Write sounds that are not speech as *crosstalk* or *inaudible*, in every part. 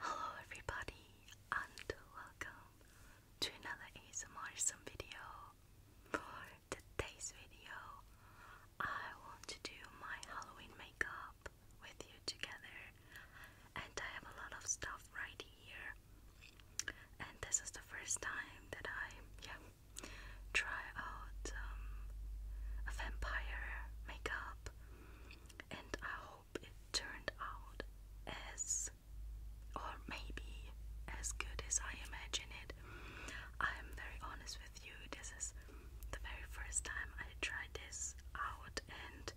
Hello, everybody, and welcome to another ASMRism video. For today's video, I want to do my Halloween makeup with you together, and I have a lot of stuff right and this is the first time that I yeah try out um, a vampire makeup, and I hope it turned out as or maybe as good as I imagine it. I'm very honest with you. This is the very first time I tried this out, and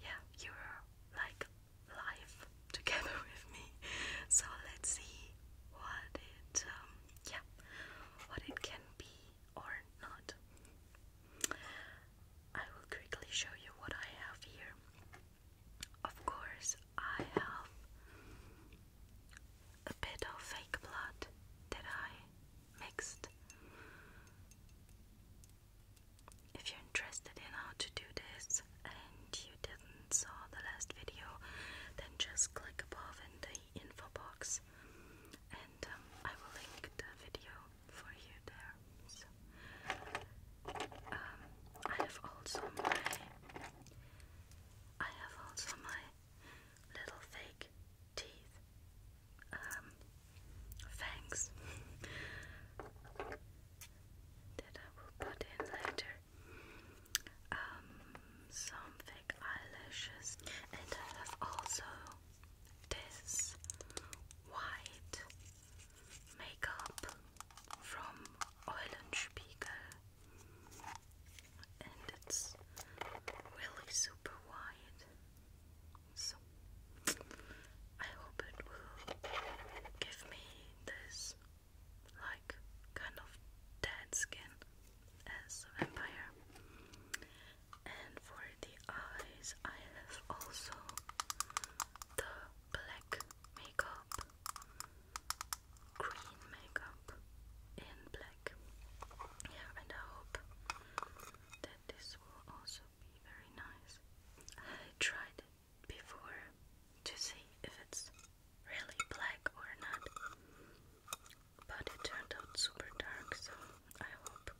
yeah, you're like life together *laughs* with me. So let's see what it, um, yeah, what it can be or not. I will quickly show you what I have here. Of course, I have a bit of fake blood that I mixed if you're interested in how to do this and you didn't saw the last video, then just click above in the info box and um, I will link the video for you there. So, um, I have also my I have also my little fake teeth um, fangs *laughs* that I will put in later um, some fake eyelashes and I have also this white makeup from Eulenspiegel and it's really super wide so I hope it will give me this like kind of dead skin as a vampire. And for the eyes, I have also the black makeup, green makeup in black. Yeah, and I hope that this will also be very nice. I tried before to see if it's really black or not. But it turned out super dark, so I hope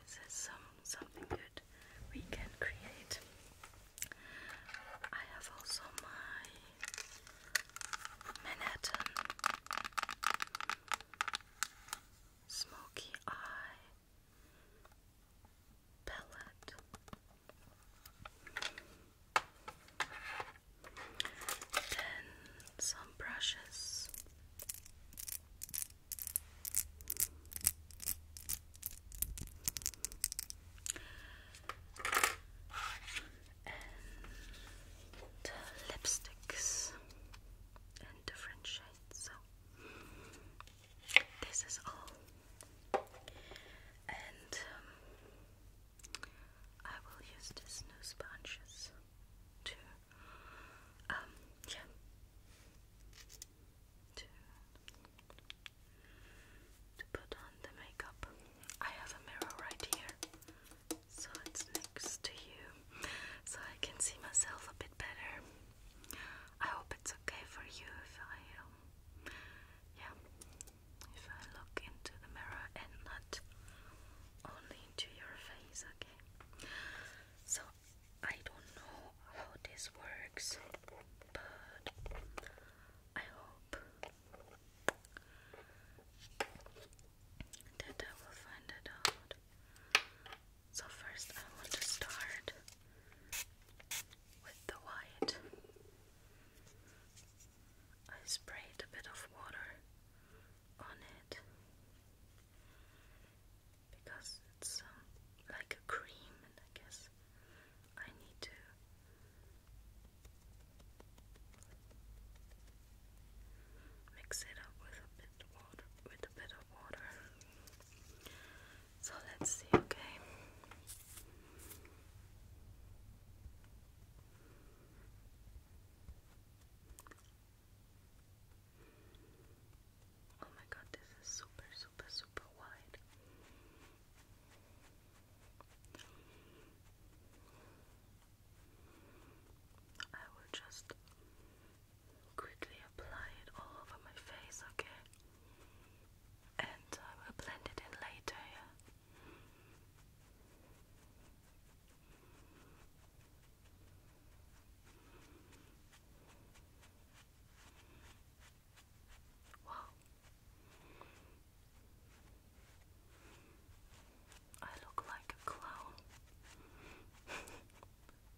this is some something good we can create. I have also my Manhattan Smoky Eye pellet. Then some brushes. And uh, lipsticks in different shades. This is all. And um, I will use these new sponges to, um, to, to put on the makeup. I have a mirror right here, so it's next to you, so I can see myself a bit better. I hope it's okay for you if I, um, yeah, if I look into the mirror and not only into your face, okay? So, I don't know how this works, but I hope that I will find it out so, first, I want to start with the white. I sprayed a bit of water on it because it's um, like a cream, and I guess I need to mix it up with a with a bit of water. So let's see, okay. Oh my god, this is super super super wide. I will just quickly apply it all over my face, okay? And I uh, will blend it in later, Wow. I look like a clown. *laughs*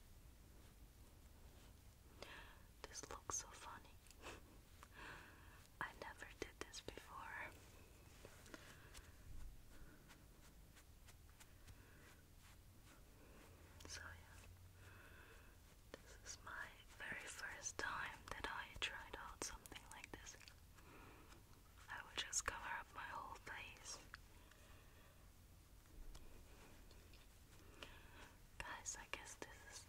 This looks so funny. *laughs* I never did this before. So, yeah, this is my very first time that I tried out something like this. I will just cover up my whole face Guys, I guess this is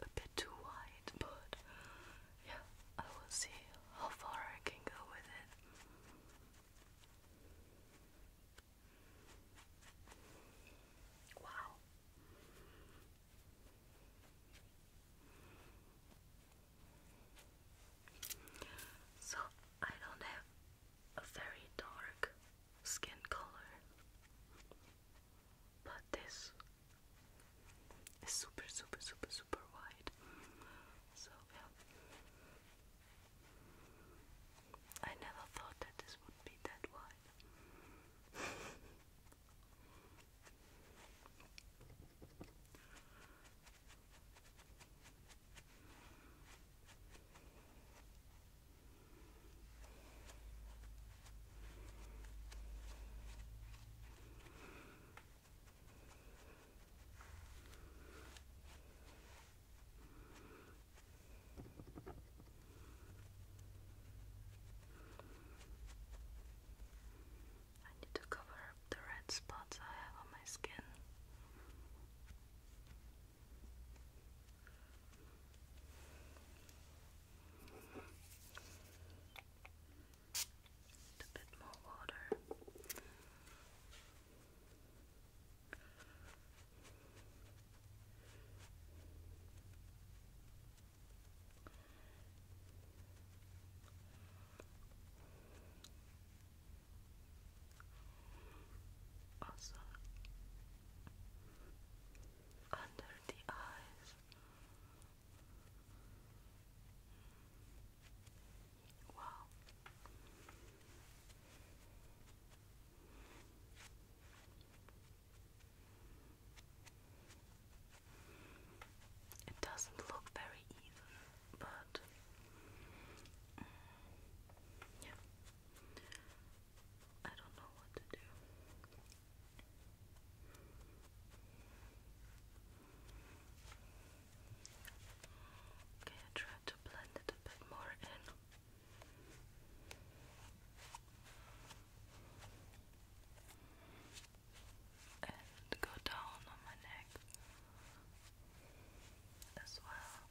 a bit too wide, but yeah, I will see how far I can go with it. Wow. So, I don't have a very dark skin color, but this is super, super, super, super wide. So, yeah, I never thought that this would be that wide. *laughs* I need to cover up the red spots I have on my skin a bit more water also under the eyes wow it doesn't look very even but mm, yeah, I don't know what to do. Okay, I try to blend it a bit more in. And go down on my neck as well.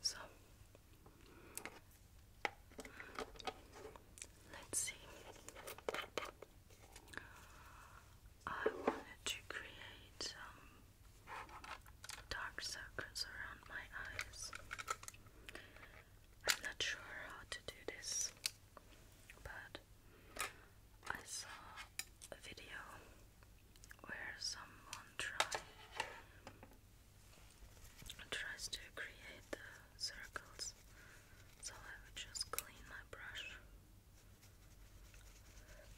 So let's see. I wanted to create um, dark circles around my eyes. I'm not sure how to do this, but I saw a video where someone try, tries to create the circles, so I will just clean my brush.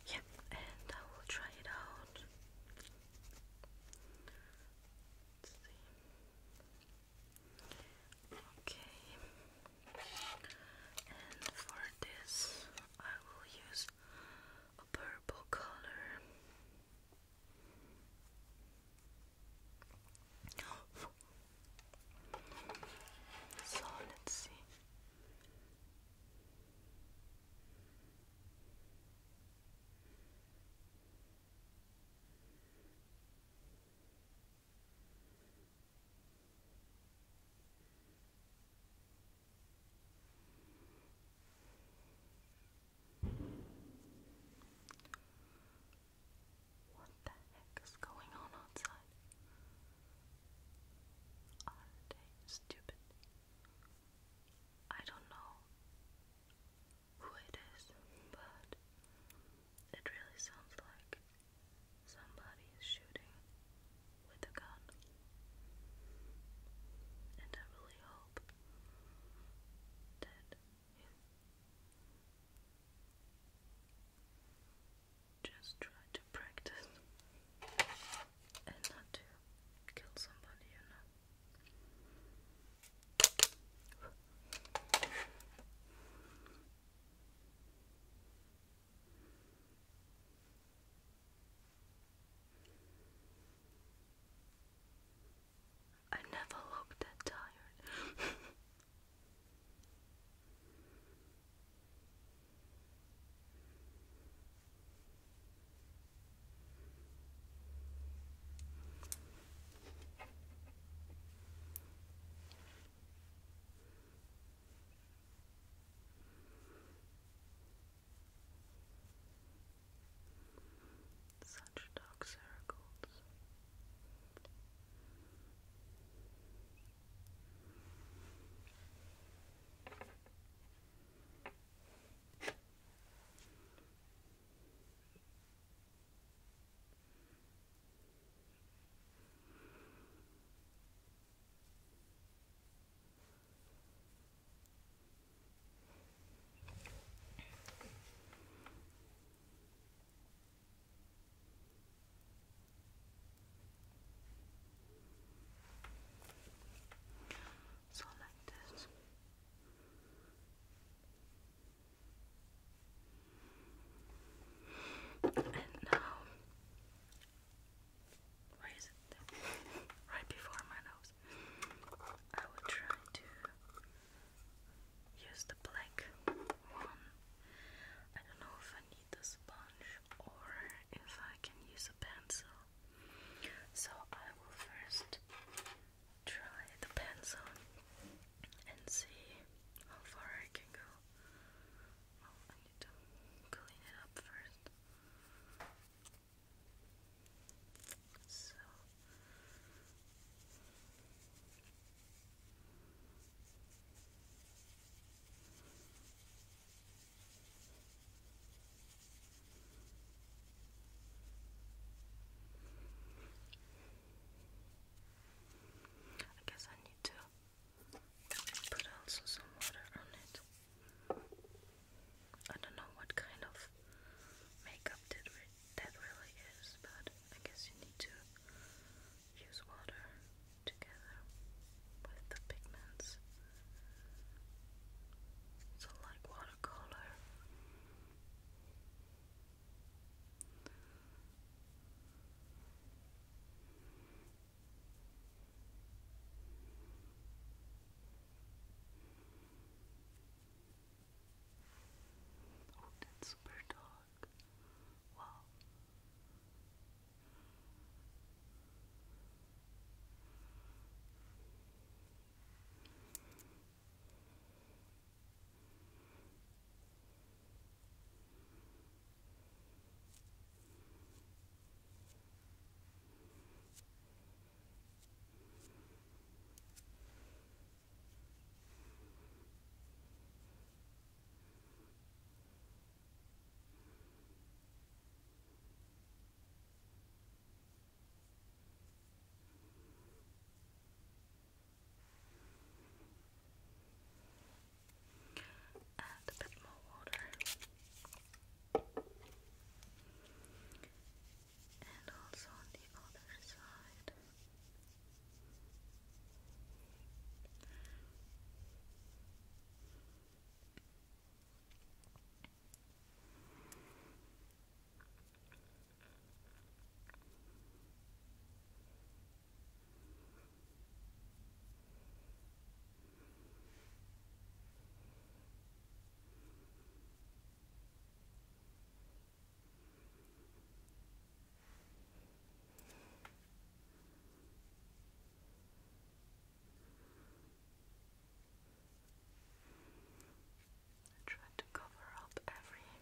Yeah, and I will try it out. Let's see. Okay. And for this, I will use a purple color. *gasps* so let's see. What the heck is going on outside? stupid? I don't know who it is, but it really sounds like somebody is shooting with a gun. And I really hope that you just try to practice and not to kill somebody, you know. I never looked that tired. Such dark circles. So like And now right before my nose. I will try to use the black one. I don't know if I need the sponge or if I can use a pencil. So I will first try the pencil and see how far I can go. Oh, I need to clean it up first. So I guess I need to put also some water on it. I don't know what kind of makeup that, that really is, but I guess you need to use water together with the pigments. So, like watercolor. Oh, that's super dark. Wow. Add a bit more water and also on the other side. I tried to cover up every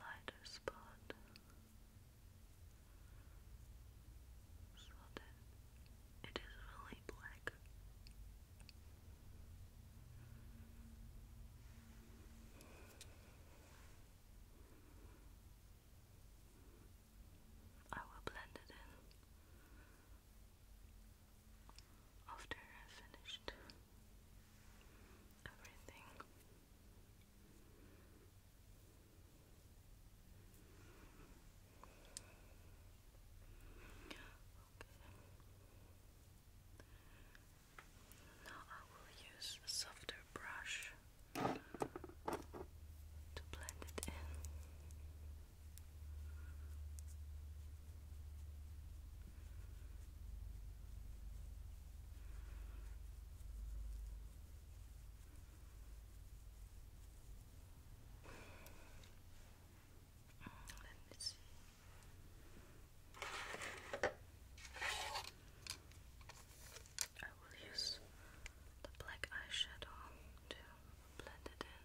lighter spot so that it is really black. I will blend it in after i finished everything. Now I will use a softer brush to blend it in. Let me I will use the black eyeshadow to blend it in.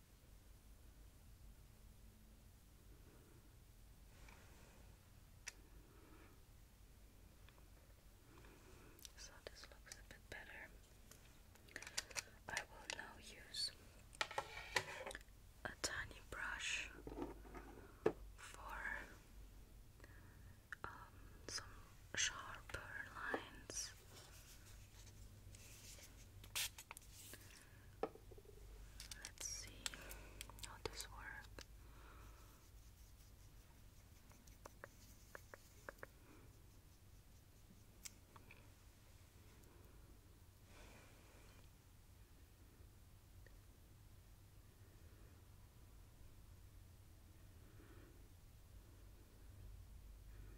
So this looks a bit better. I will now use a tiny brush for um, some sharper lines. Let's see how this works.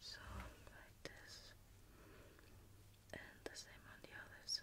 So like this and the same on the other side.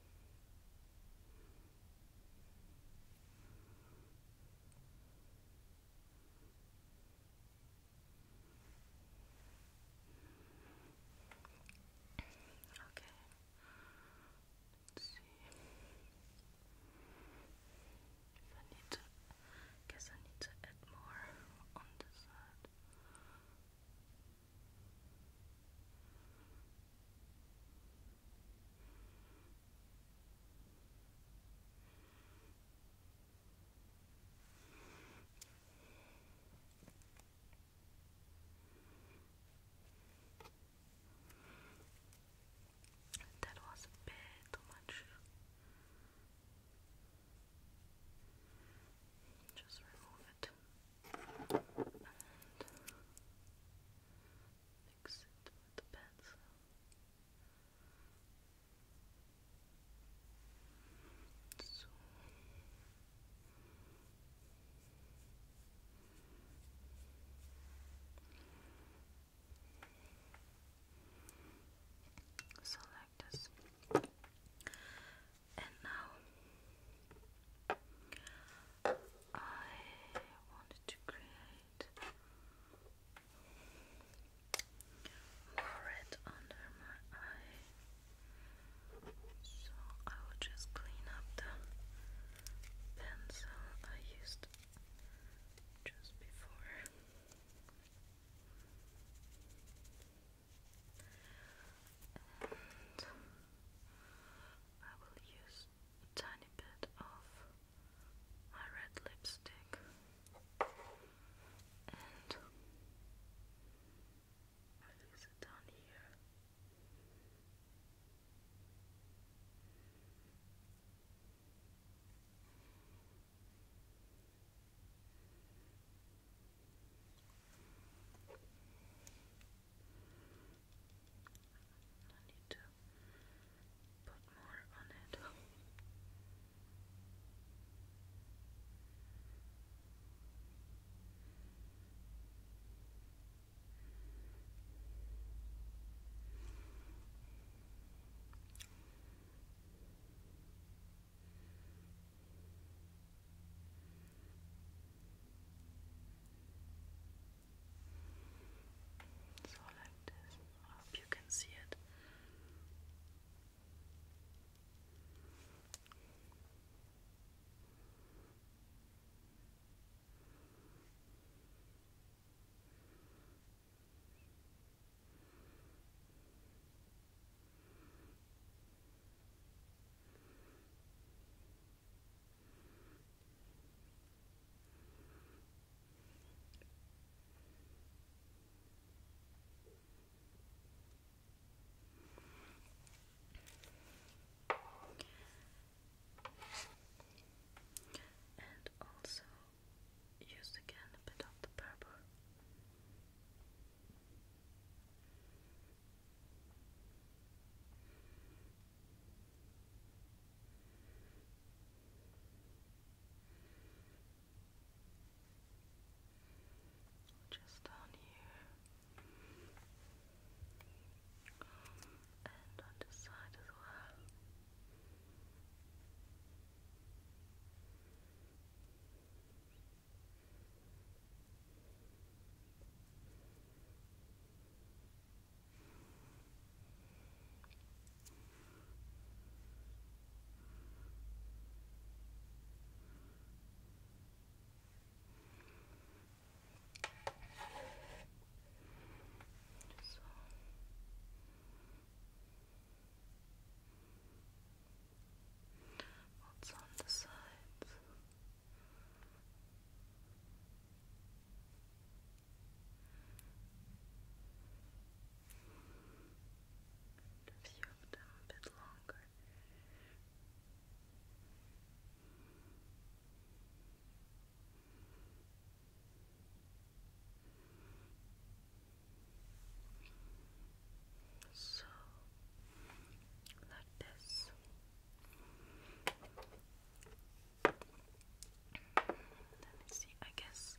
Okay. Let's see. If I need to, guess I need to add more on the side. That was a bit too much. Just remove it mix it with the pencil. So so like and now I wanted to create more red under my eye. So I will just clean up the pencil I used just before and I will use a tiny bit of my red lipstick and release it down here. I need to put more on it. So like this. I hope you can see it. And also use again a bit of the purple. Just down here and on this side as well. So. What's on the sides? A few of them a bit longer. So, like this. Let me see, I guess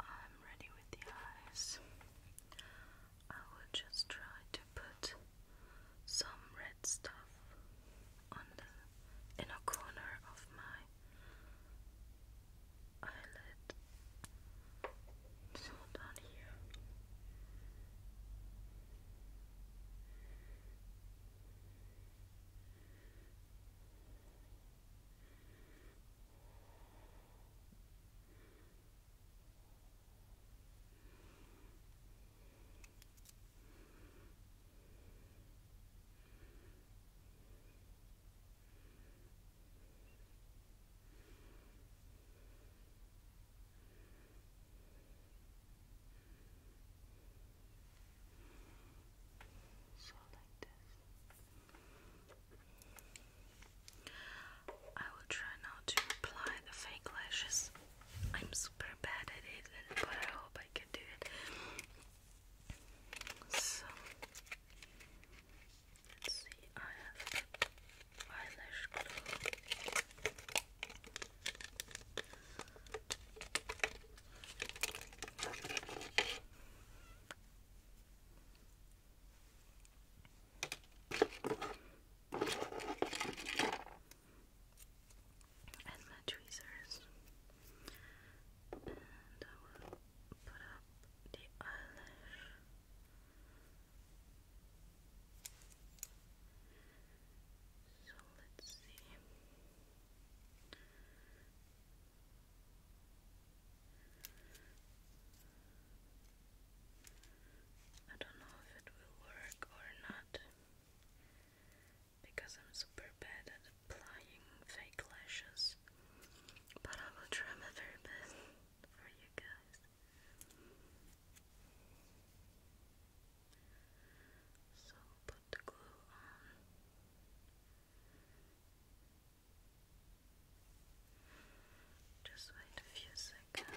I'm ready with the eyes. I will just try to put some red stuff on the inner corner of my eyelid. It's all down here. So, like this. I will try not to apply the fake lashes. I'm super bad at it, but I hope I can do it. So, let's see, I have eyelash glue. And my tweezers, and I will put up the eyelash so let's see. I don't know if it will work or not because I'm super bad at applying fake lashes, but I will try my very best for you guys. So put the glue on. Just wait a few seconds.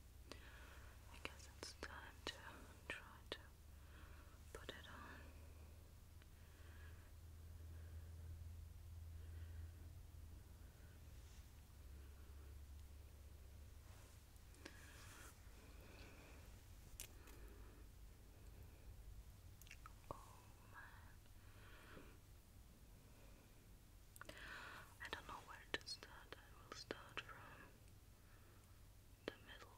I guess it's time to try to put it on. Oh man. I don't know where to start. I will start from the middle.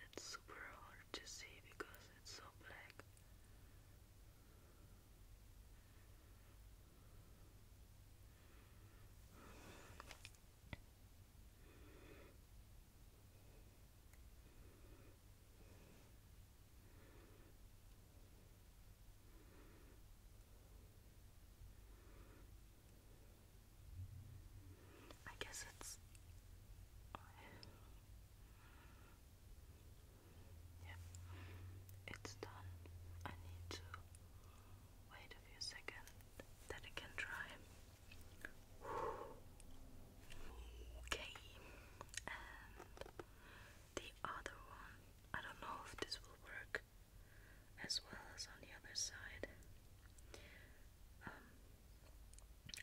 That's super hard to see because it's so black. I guess it's yeah, it's done. I need to wait a few seconds that I can try. Okay, and the other one, I don't know if this will work as well as on the other side. Um,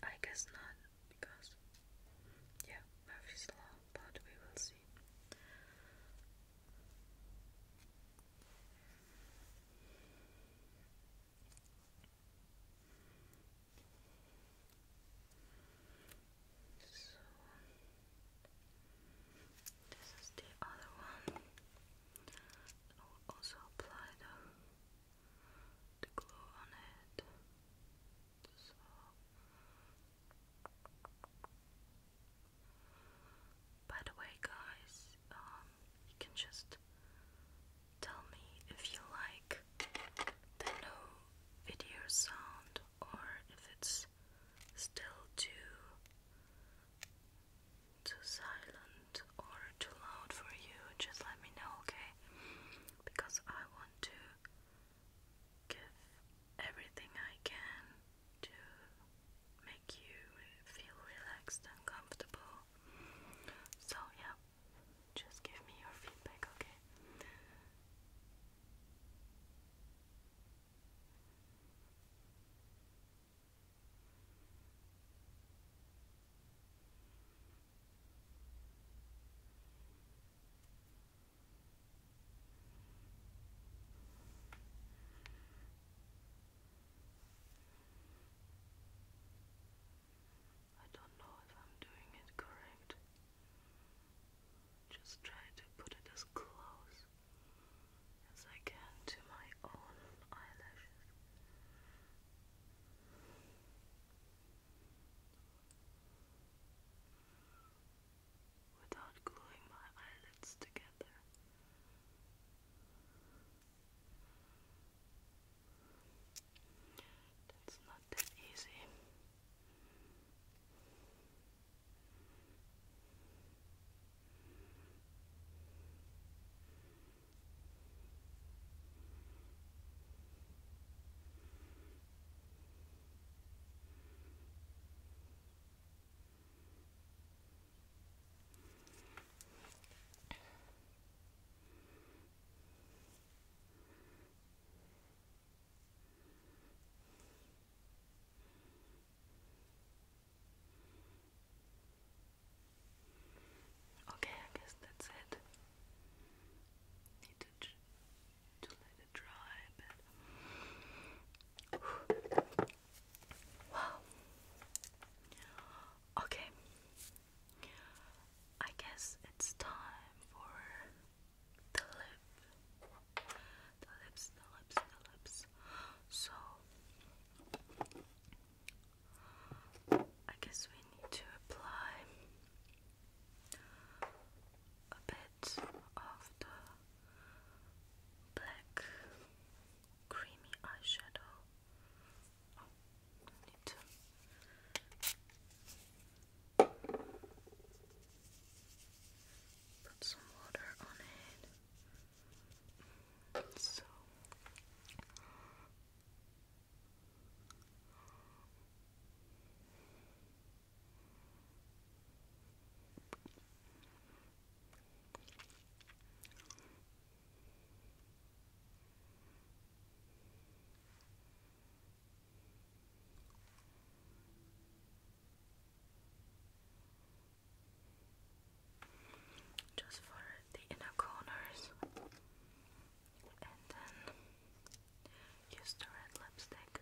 I guess not because, yeah, Murphy's Law, but we will see. So this is the other one. I will also apply the the glue on it. So by the way guys, um, you can just tell me if you like the new video sound or if it's still too too silent or too loud for you just let me know okay because I want to give everything I can to make you feel relaxed and comfortable. So, yeah, just give me your feedback, Okay, I don't know if I'm doing it correct. Just try to put it as close as I can to my own eyelashes. Without gluing my eyelids together. That's not that easy. Okay, I guess that's it. Need to, to let it dry a Wow. Okay, I guess it's time for the lip. The lips, the lips, the lips. So I guess we need to apply a bit of the black creamy eyeshadow Oh, I Put some water on it. So just for the inner corners, and then use the red lipstick.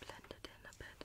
Blend it in a bit.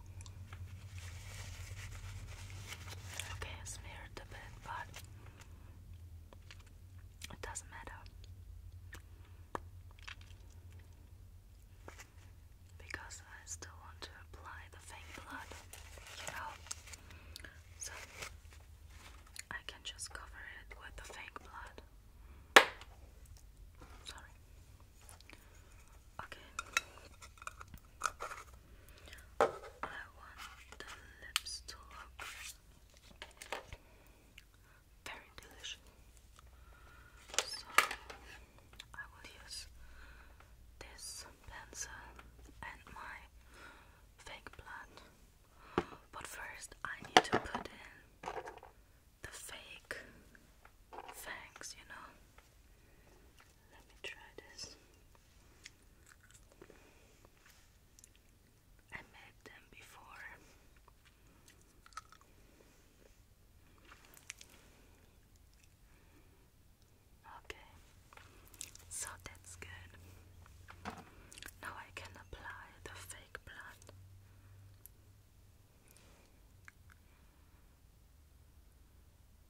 Okay, I smeared a bit, but it doesn't matter because I still want to apply the fake blood, you know. So I can just cover it with the fake blood. Sorry. Okay. I want the lips to look very delicious. So I will use this pencil and my fake blood. But first I need to put in the fake fangs, you know. Let me try this. I met them before. Okay, so that's good. Now I can apply the fake blood.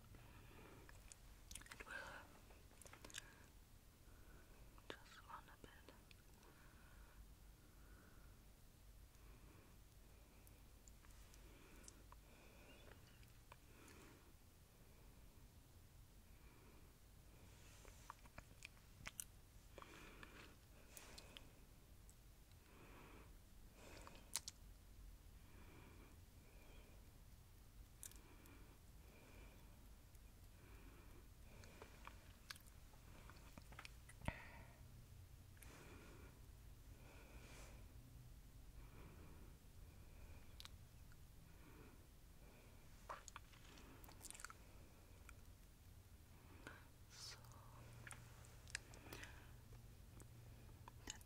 It will just run a bit.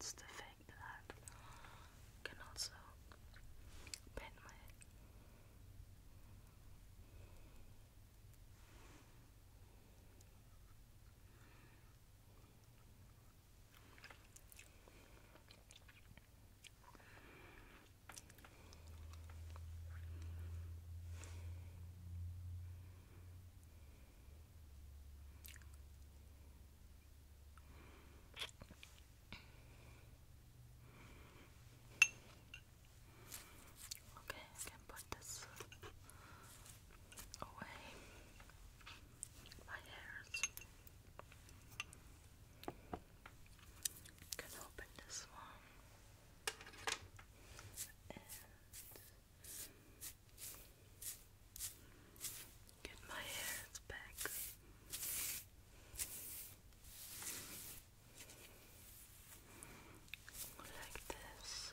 So that's the effect that can also bend my head. Okay, I can put this away. My hairs. Can open this one Get my hands back. Like this.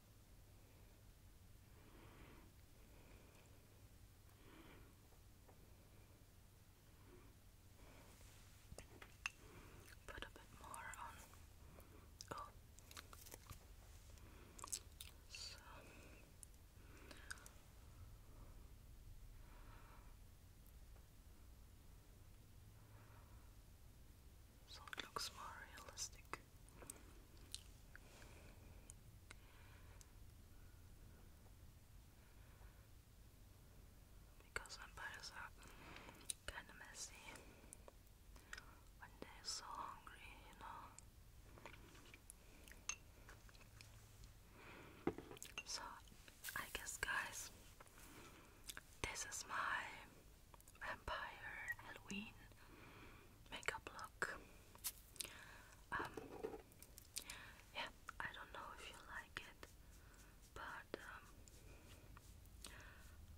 Put a bit more on. Oh so it looks more realistic. Because vampires are kinda messy when they're so hungry, you know. So I guess guys this is my vampire Halloween makeup look. Um, yeah, I don't know if you like it, but um,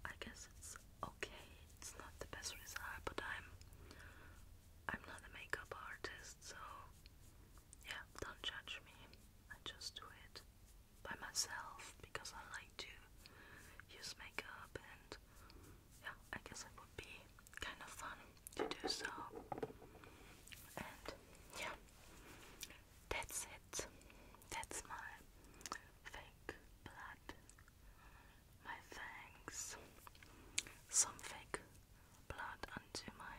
I guess it's okay. It's not the best result, but I'm I'm not a makeup artist, so yeah, don't judge me. I just do it by myself because I like to use makeup and yeah, I guess it would be kind of fun to do so. And yeah, that's it. That's my fake blood. My thanks. Some fake blood onto my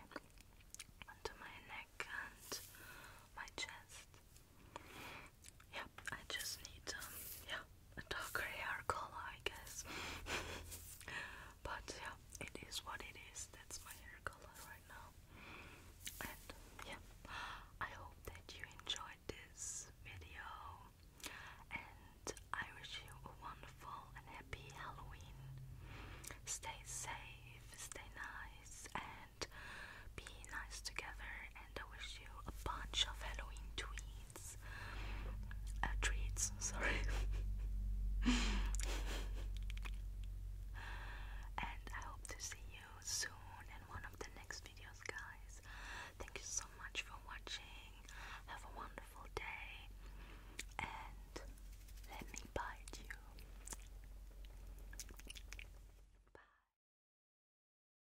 onto my neck and my chest Yep, I just need um yeah, a darker hair color I guess. *laughs* but yeah, it is what it is. That's my hair color right now. And yeah, I hope that you enjoyed this video. And I wish you a wonderful and happy Halloween. Stay safe, stay nice, and be nice together and I wish you a bunch of Halloween tweets. treats, uh, *laughs* sorry. and I hope to see you soon in one of the next videos, guys. Thank you so much for watching. Have a wonderful day. And let me bite you. Bye.